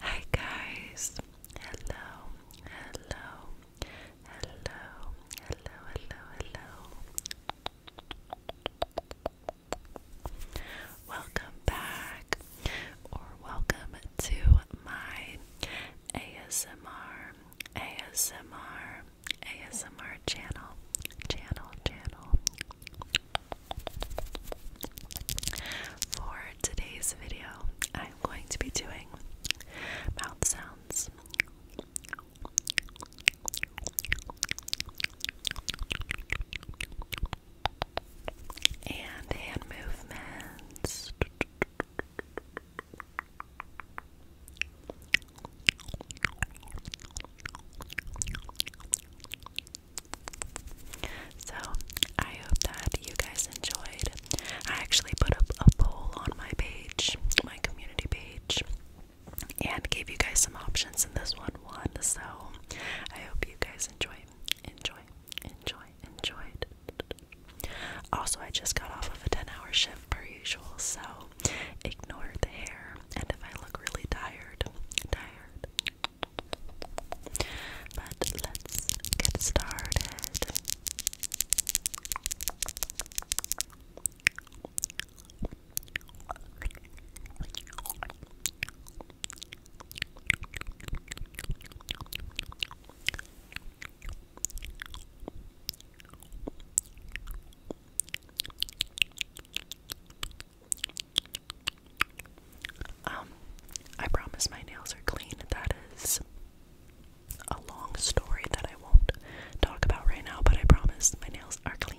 Hi guys. Hello. Hello. Hello. Hello. Hello. Hello. Welcome back or welcome to my ASMR ASMR ASMR channel, channel, channel. For today's video, I'm going to be doing mouth sounds. And hand movements. So, I hope that you guys enjoyed. I actually put up a poll on my page, my community page, and gave you guys some options, in this one one. So, I hope you guys enjoy, enjoy, enjoy, enjoyed. Also, I just got off of a 10 hour shift per usual, so ignore the hair. And if I look really tired, tired. But let's get started. Um, I promise my nails are clean. That is a long story that I won't talk about right now, but I promise my nails are clean.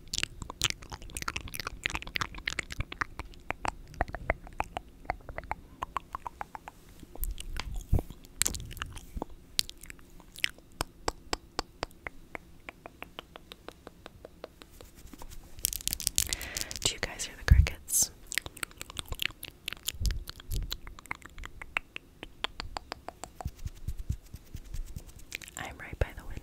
Do you guys hear the crickets? I'm right by the window.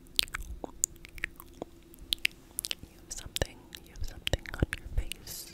You something, you something on your face.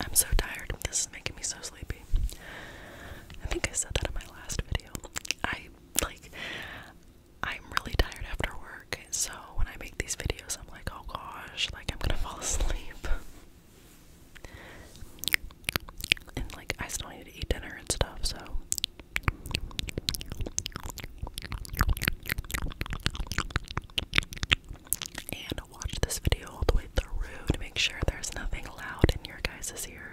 I'm so tired. This is making me so sleepy. I think I said that in my last video. I like I'm really tired after work, so when I make these videos, I'm like, oh gosh, like I'm gonna fall asleep. And like I still need to eat dinner and stuff, so and watch this video all the way through to make sure there's nothing loud in your guys' ears.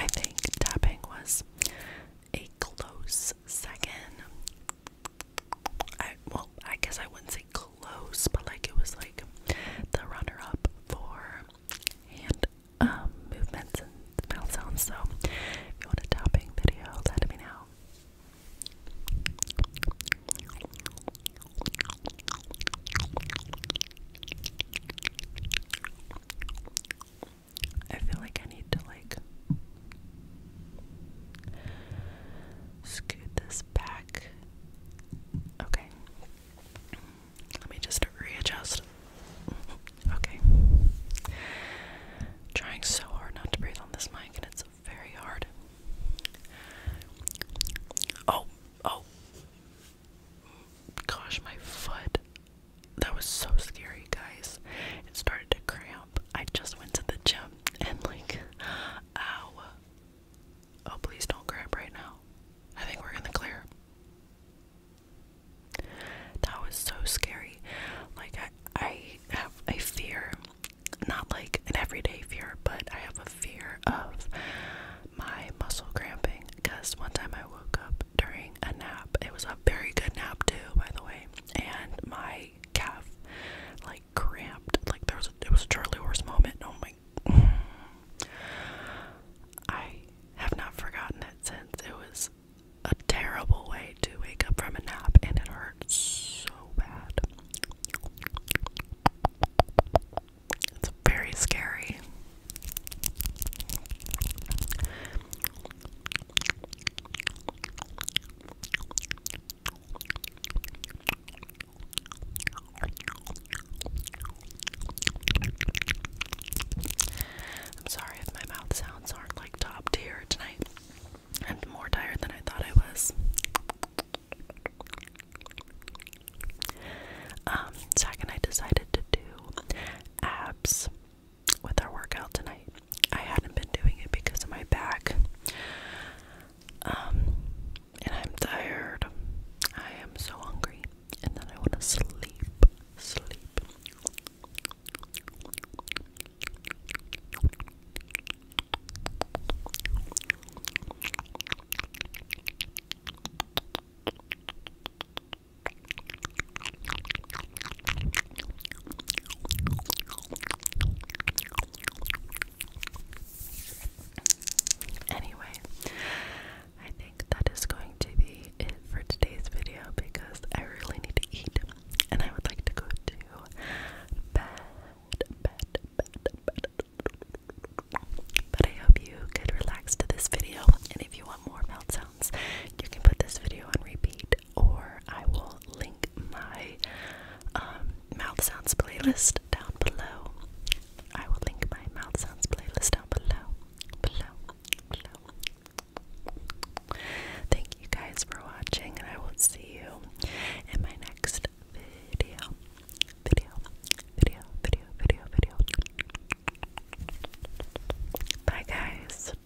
I think tapping was a close second. I well, I guess I wouldn't say close, but like it was like the runner up for hand um, movements and mouth sounds. So if you want a tapping video, let me know. I feel like I need to like scoot this back. Okay. Let me just readjust. Okay. Trying so hard not to breathe on this mic, and it's very hard. Oh, oh. Gosh, my foot. That was so scary, guys. It started to cramp. I just went to the gym and, like, ow. Oh, please don't grab right now. I think we're in the clear. That was so scary. Like, I, I have a fear, not like an everyday fear, but I have a fear of my muscle cramping. Because one time I woke up during a nap, it was a very good nap, too, by the way, and my calf, like, cramped. Like there was it was a Charlie horse moment. Oh my. I have not forgotten it since. It was a terrible way to wake up from a nap, and it hurts so bad. It's very scary. I'm sorry if my mouth sounds aren't like top tier tonight. I'm more tired than I thought I was. Um, Zach and I decided to do abs with our workout tonight. I hadn't been doing it because of my back. Um, and I'm tired. I am so hungry. And then I want to sleep. Sleep. Anyway, I think that is going to be it for today's video because I really need to eat and I would like to go to bed, bed, bed, bed. But I hope you could relax to this video and if you want more melt sounds, you can put this video on repeat or I will link my um, mouth sounds playlist down below. I will link my mouth sounds playlist down below, below, below. Thank you guys for watching, and I will see you in my next video. Video, video, video, video, video. Bye, guys.